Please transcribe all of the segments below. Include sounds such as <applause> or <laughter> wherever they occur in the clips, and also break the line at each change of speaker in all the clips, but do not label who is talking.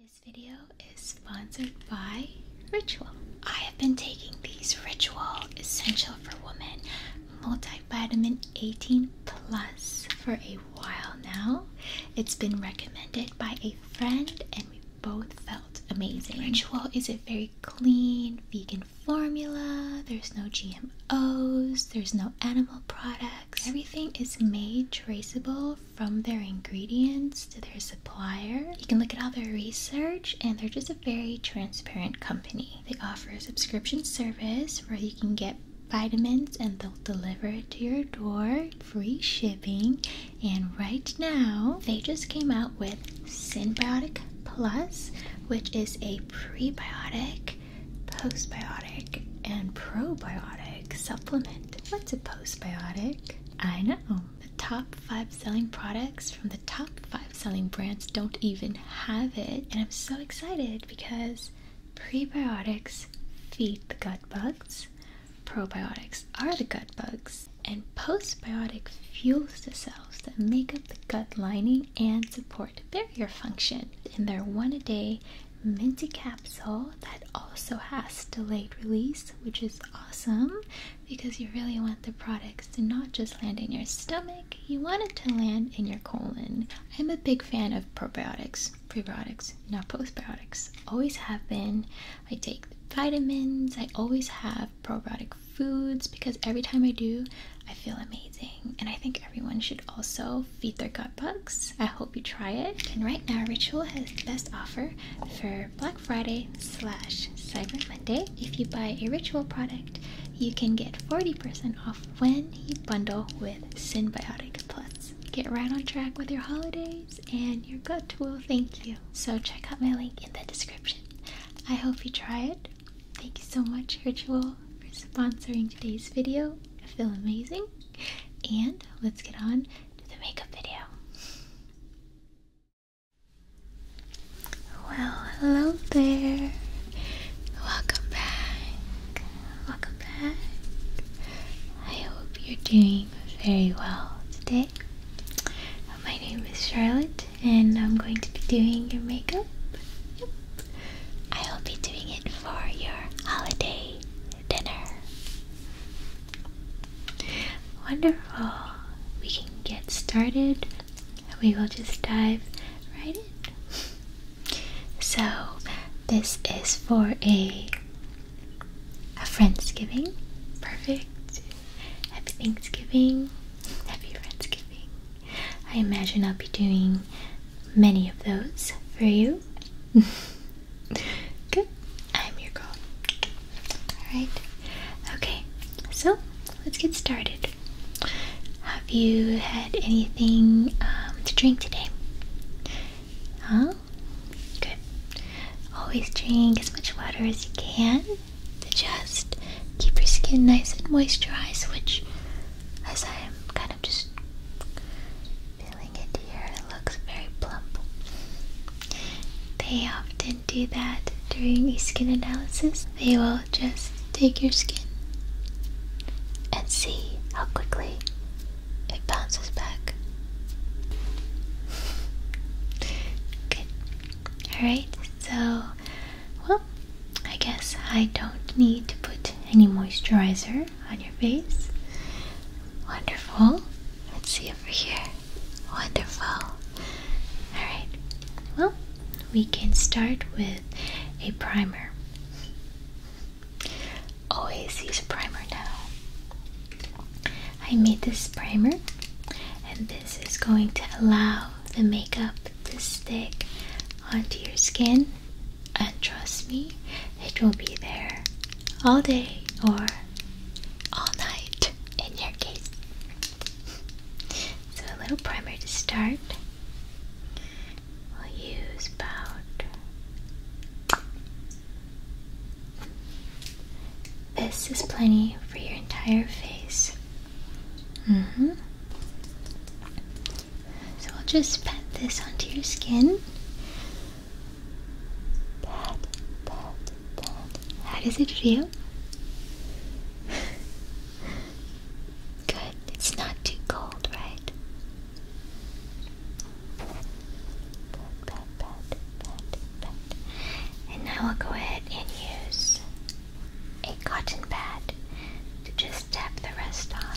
This video is sponsored by Ritual. I have been taking these Ritual Essential for Women multivitamin 18 plus for a while now. It's been recommended by a friend and we both felt amazing. Ritual is a very clean vegan formula. There's no GMOs, there's no animal products. Everything is made traceable from their ingredients to their supplier. You can look at all their research, and they're just a very transparent company. They offer a subscription service where you can get vitamins and they'll deliver it to your door, free shipping. And right now, they just came out with Synbiotic Plus, which is a prebiotic, postbiotic, and probiotic supplement. What's a postbiotic? I know. The top five selling products from the top five selling brands don't even have it. And I'm so excited because prebiotics feed the gut bugs, probiotics are the gut bugs, and postbiotic fuels the cells that make up the gut lining and support barrier function. And they're one a day minty capsule that also has delayed release, which is awesome because you really want the products to not just land in your stomach, you want it to land in your colon. I'm a big fan of probiotics, prebiotics, not postbiotics. Always have been. I take vitamins, I always have probiotic foods because every time I do, I feel amazing. And I think everyone should also feed their gut bugs. I you try it. And right now, Ritual has the best offer for Black Friday slash Cyber Monday. If you buy a Ritual product, you can get 40% off when you bundle with Symbiotic Plus. Get right on track with your holidays, and your gut will thank you. So, check out my link in the description. I hope you try it. Thank you so much, Ritual, for sponsoring today's video. I feel amazing. And let's get on the makeup video. Well, hello there. Welcome back. Welcome back. I hope you're doing very well today. My name is Charlotte, and I'm going to be doing your makeup. I will be doing it for your holiday dinner. Wonderful. We can get started. We will just dive right in. So, this is for a a Thanksgiving. Perfect. Happy Thanksgiving. Happy Thanksgiving. I imagine I'll be doing many of those for you. <laughs> Good. I'm your girl. Alright. Okay, so let's get started. Have you had anything um, to drink today? Huh? Good. Always drink as much water as you can to just keep your skin nice and moisturized, which, as I am kind of just feeling it here. looks very plump. They often do that during a skin analysis. They will just take your skin and see how quickly it bounces back. Good. Alright, so, well, I guess I don't need to put any moisturizer on your face. Wonderful. Let's see over here. Wonderful. Alright, well, we can start with a primer. Always use a primer now. I made this primer, and this is going to allow the makeup to stick onto your skin. And trust me, it will be there all day or all night in your case. So, a little primer to start. We'll use about. This is plenty for your entire face. hmm. So, I'll just pat this onto your skin. Pat, pat, pat. How does it feel? <laughs> Good. It's not too cold, right? Pat, pat, pat, pat, pat. And I'll go ahead and use a cotton pad to just tap the rest on.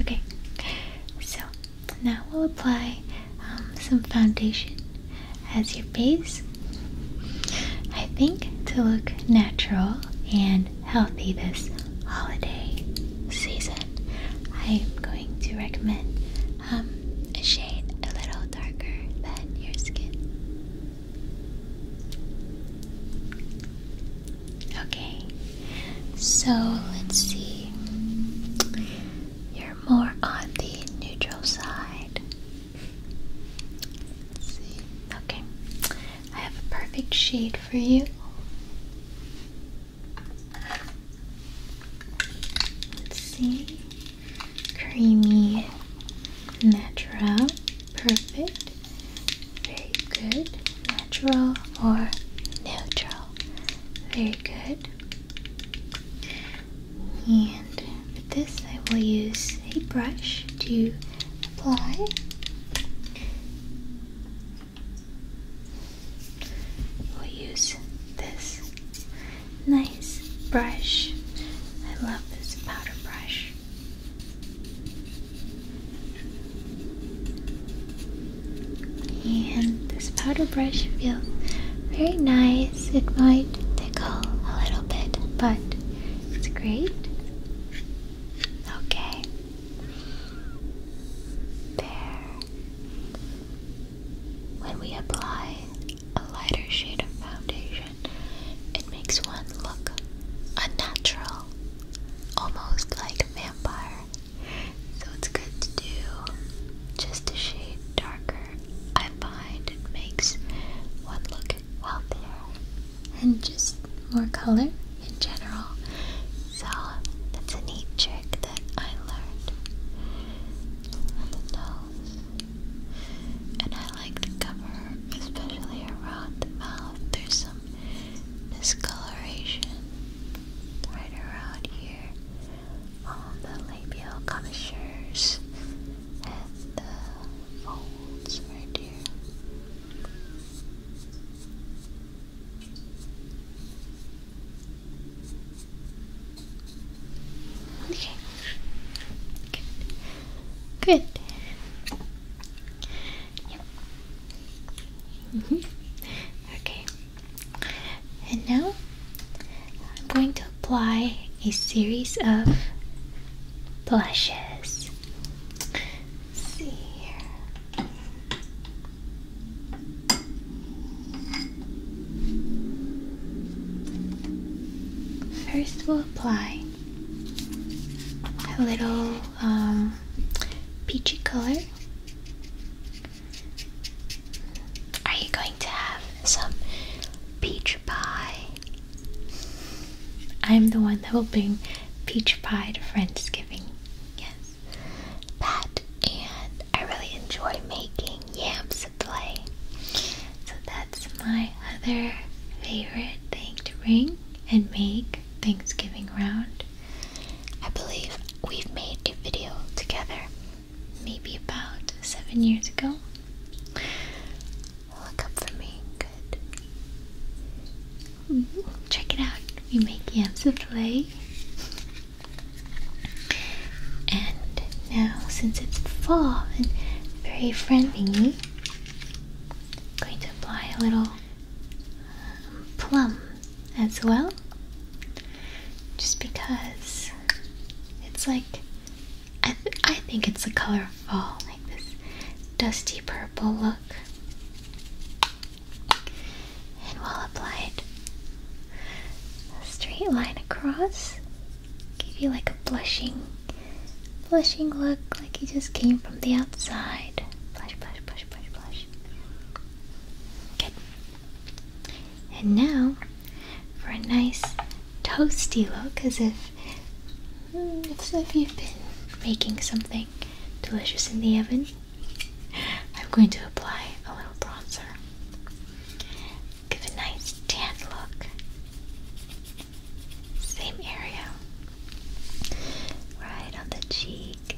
Okay. So now we'll apply um, some foundation as your base. I think to look natural and healthy this holiday season, I am going to recommend um, a shade a little darker than your skin. Okay, so let's see. You're more on the neutral side. see. Okay, I have a perfect shade for you. Let's see. Creamy, natural, perfect, very good, natural or neutral, very good. And for this, I will use a brush to apply. We'll use this nice brush. I love this powder brush. And this powder brush feels very nice. It might tickle a little bit, but it's great. Okay. There. When we apply a lighter shade of foundation, it makes one look unnatural, almost like a vampire. So it's good to do just a shade darker. I find it makes one look healthier and just more color in general. So that's a neat trick that I learned on the nose. And I like to cover, especially around the mouth. There's some discoloration right around here on the labial commissures and the folds right here. Okay. Good. Yep. Mm-hmm. Okay. And now I'm going to apply a series of blushes. see here. First, we'll apply a little um, peachy color. Are you going to have some peach pie? I'm the one that will bring peach pie to Friendsgiving. Yes that, and I really enjoy making yams yam play. So that's my other favorite thing to bring and make Thanksgiving round. I believe we've made a video together, maybe about seven years ago. Look up for me, good. Mm-hmm. Check it out. We make yams yam play. <laughs> And now, since it's fall and very friendly, I'm going to apply a little um, plum as well, just because it's like I, I think it's the color of fall, like this dusty purple look and well applied. A straight line across. Give you like a blushing, blushing look, like you just came from the outside. Blush, blush, blush, blush, blush. Good. And now, for a nice toasty look, as if, hmm, as if you've been making something delicious in the oven, I'm going to apply a little bronzer. Give a nice tan look. Same area. Right on the cheek,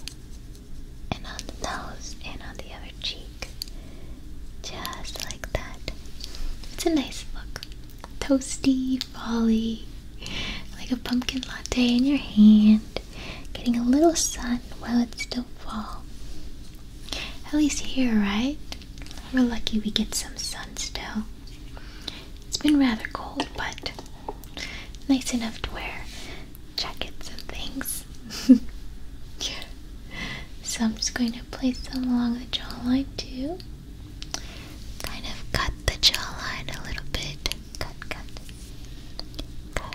and on the nose, and on the other cheek. Just like that. It's a nice look. Toasty, folly, like a pumpkin latte in your hand, getting a little sun while it's still fall. At least here, right? We're lucky we get some sun still. It's been rather cold, but nice enough to wear jackets and things. yeah. <laughs> So I'm just going to place them along the jawline too. Kind of cut the jawline a little bit. Cut, cut. Cut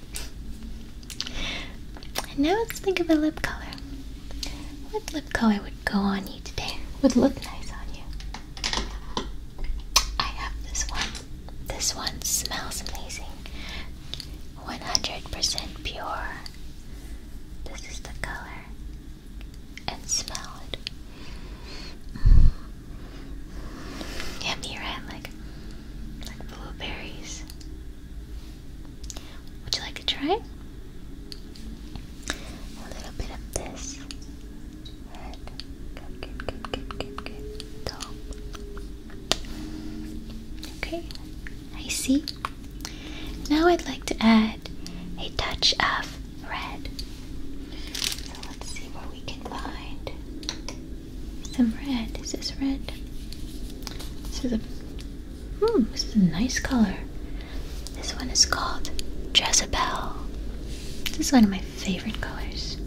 And now let's think of a lip color. What lip color would go on you today? Would look nice on you? I have this one. This one smells amazing. 100% pure. This is the color. And smell it. Mm. Yummy, right? Like, like blueberries. Would you like to try? A little bit of this. Good, good, good, good, good, good. Okay, I see. Now I'd like to add a touch of red. let's see what we can find. Some red. Is this red? This is a. Hmm, this is a nice color. This one is called Jezebel. This is one of my favorite colors.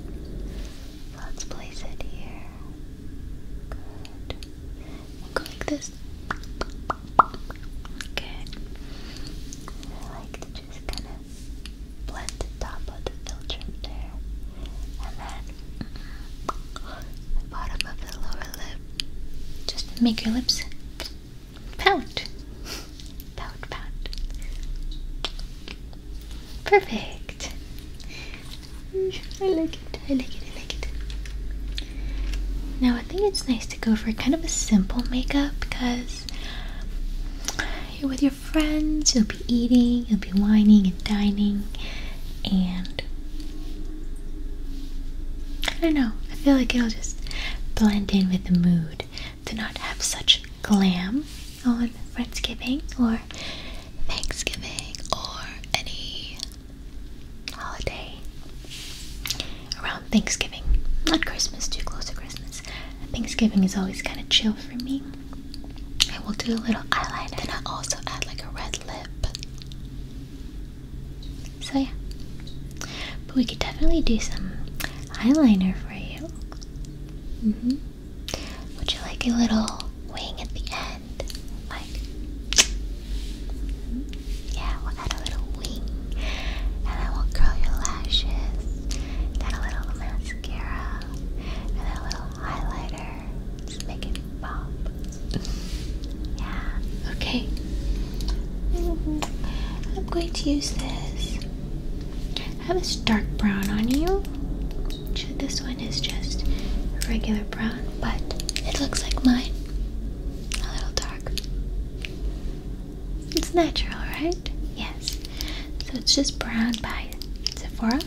Let's place it here. Good. go like this. Good. I like to just kind of blend top of the filter there, and then mm, bottom of the lower lip. Just make your lips pout, <laughs> pout, pout. Perfect. I like it. I like it. I like it. Now I think it's nice to go for kind of a simple makeup because. With your friends, you'll be eating, you'll be whining and dining, and I don't know, I feel like it'll just blend in with the mood to not have such glam on Thanksgiving or Thanksgiving or any holiday around Thanksgiving. Not Christmas, too close to Christmas. Thanksgiving is always kind of chill for me. I will do a little eyeliner and I also add like a red lip. So yeah. But we could definitely do some eyeliner for you. Mm-hmm. Would you like a little wing at the end? Like mm-hmm. yeah, we'll add a little wing. And then will curl your lashes. Then a little mascara. And a little highlighter. Just make it pop. yeah, okay. Mm-hmm. I'm going to use this. have this dark brown on you. this one is just regular brown, but it looks like mine. A little dark. It's natural, right? Yes. So it's just brown by Sephora.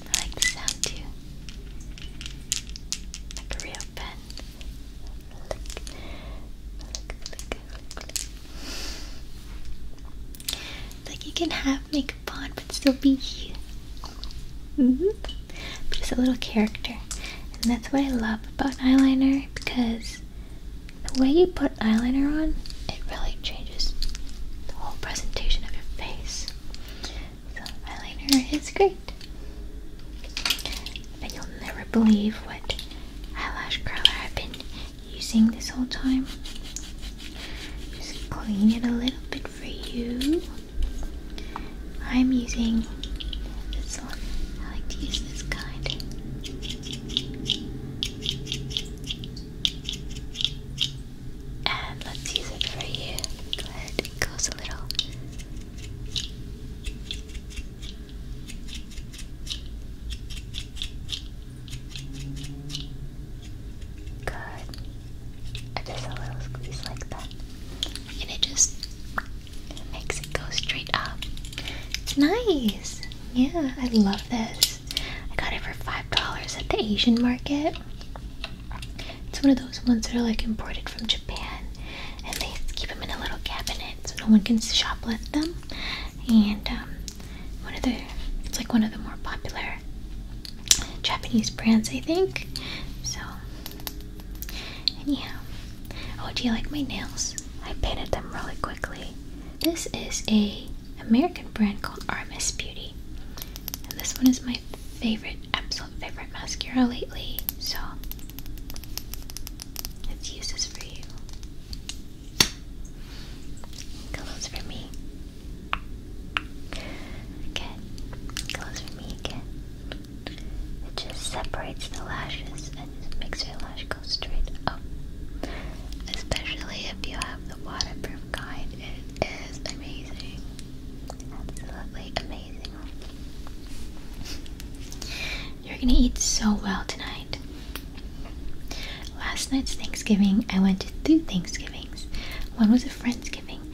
I like the sound too. Like a real pen. Like you can have makeup on but still be you. Mm -hmm. But it's a little character. And that's what I love about eyeliner because the way you put eyeliner on, it really changes the whole presentation of your face. So eyeliner is great. But you'll never believe what eyelash curler I've been using this whole time. Just clean it a little bit for you. I'm using this one. I like to use this kind. And let's use it for you. Go ahead, it goes a little. Good. just a little squeeze like that. And it just makes it go straight up. It's nice. Yeah, I love this. I got it for $5 at the Asian market. It's one of those ones that are like imported from Japan, and they keep them in a little cabinet so no one can shoplift them. And um, one of the, it's like one of the more popular Japanese brands, I think. So, anyhow, oh, do you like my nails? I painted them really quickly. This is a American brand called Armis Beauty. And this one is my favorite, absolute favorite mascara lately, so let's use this for you. Close for me. Again. Close for me again. It just separates the lashes and makes your lash go straight up. Especially if you have the waterproof kind, it is amazing. Absolutely amazing. You're gonna eat so well tonight. Last night's Thanksgiving, I went to two Thanksgivings. One was a friend's giving,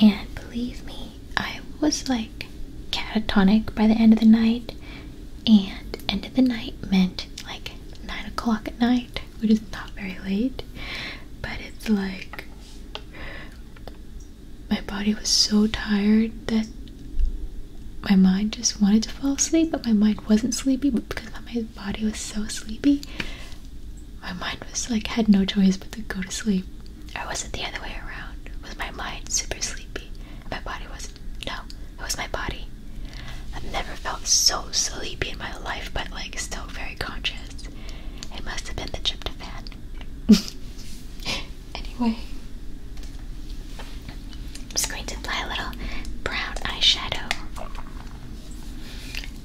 and believe me, I was like catatonic by the end of the night. And end of the night meant like nine o'clock at night, which is not very late, but it's like my body was so tired that my mind just wanted to fall asleep, but my mind wasn't sleepy. But because my body was so sleepy, my mind was like had no choice but to go to sleep. Or was it the other way around? Was my mind super sleepy? my body was no, it was my body. I've never felt so sleepy in my life, but like still very conscious. It must have been the trip to tryptophan. <laughs> anyway, I'm just going to apply a little brown eyeshadow.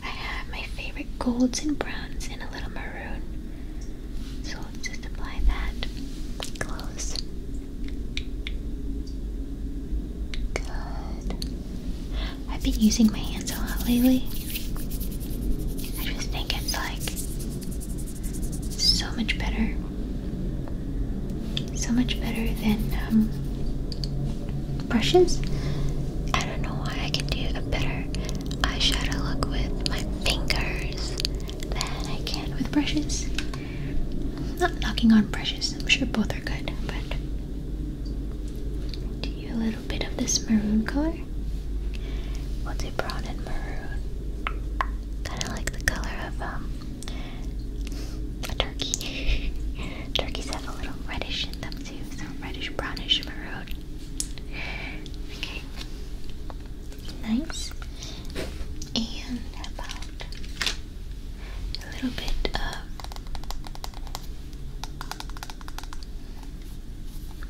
I have my favorite golds and browns and a little maroon. So I'll just apply that. Close. Good. I've been using my hands a lot lately. I just think it's like so much better. So much better than um, brushes. I don't know why I can do a better eyeshadow look with my fingers than I can with brushes. not knocking on brushes, I'm sure both are good, but do you little bit of this maroon color. What's will brown and maroon. Kind of like the color of um, a turkey. <laughs> Turkeys have a little reddish in them too, so reddish, brownish, maroon. Okay. Nice. And about a little bit of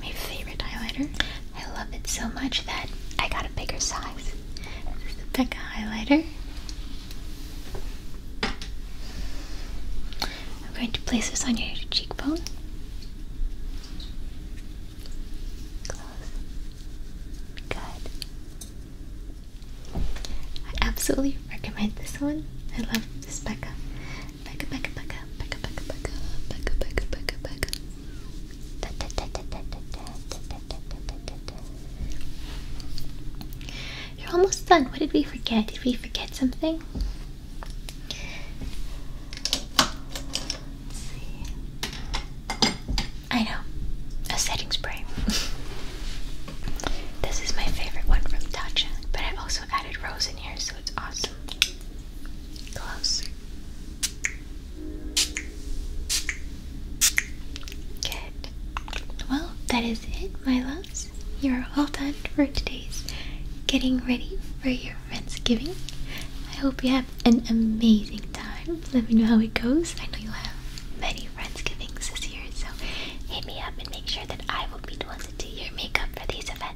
my favorite highlighter. I love it so much that I got a bigger size. This is the Becca highlighter. I'm going to place this on your cheekbone. Close. Good. I absolutely recommend this one. I love this Becca. You're almost done. What did we forget? Did we forget something? I know. A setting spray. this is my favorite one from Tatcha, but I've also added rose in here, so it's awesome. Close. Good. Well, that is it, my loves. You're all done for today's getting ready for your Thanksgiving. I hope you have an amazing time. Let me know how it goes. I know you'll have many Thanksgivings this year, so hit me up and make sure that I will be the one to do your makeup for these events.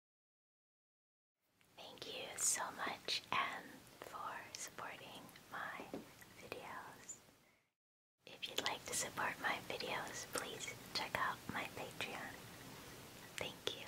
Thank you so much, and for supporting my videos. If you'd like to support my videos, please check out my Patreon. Thank you.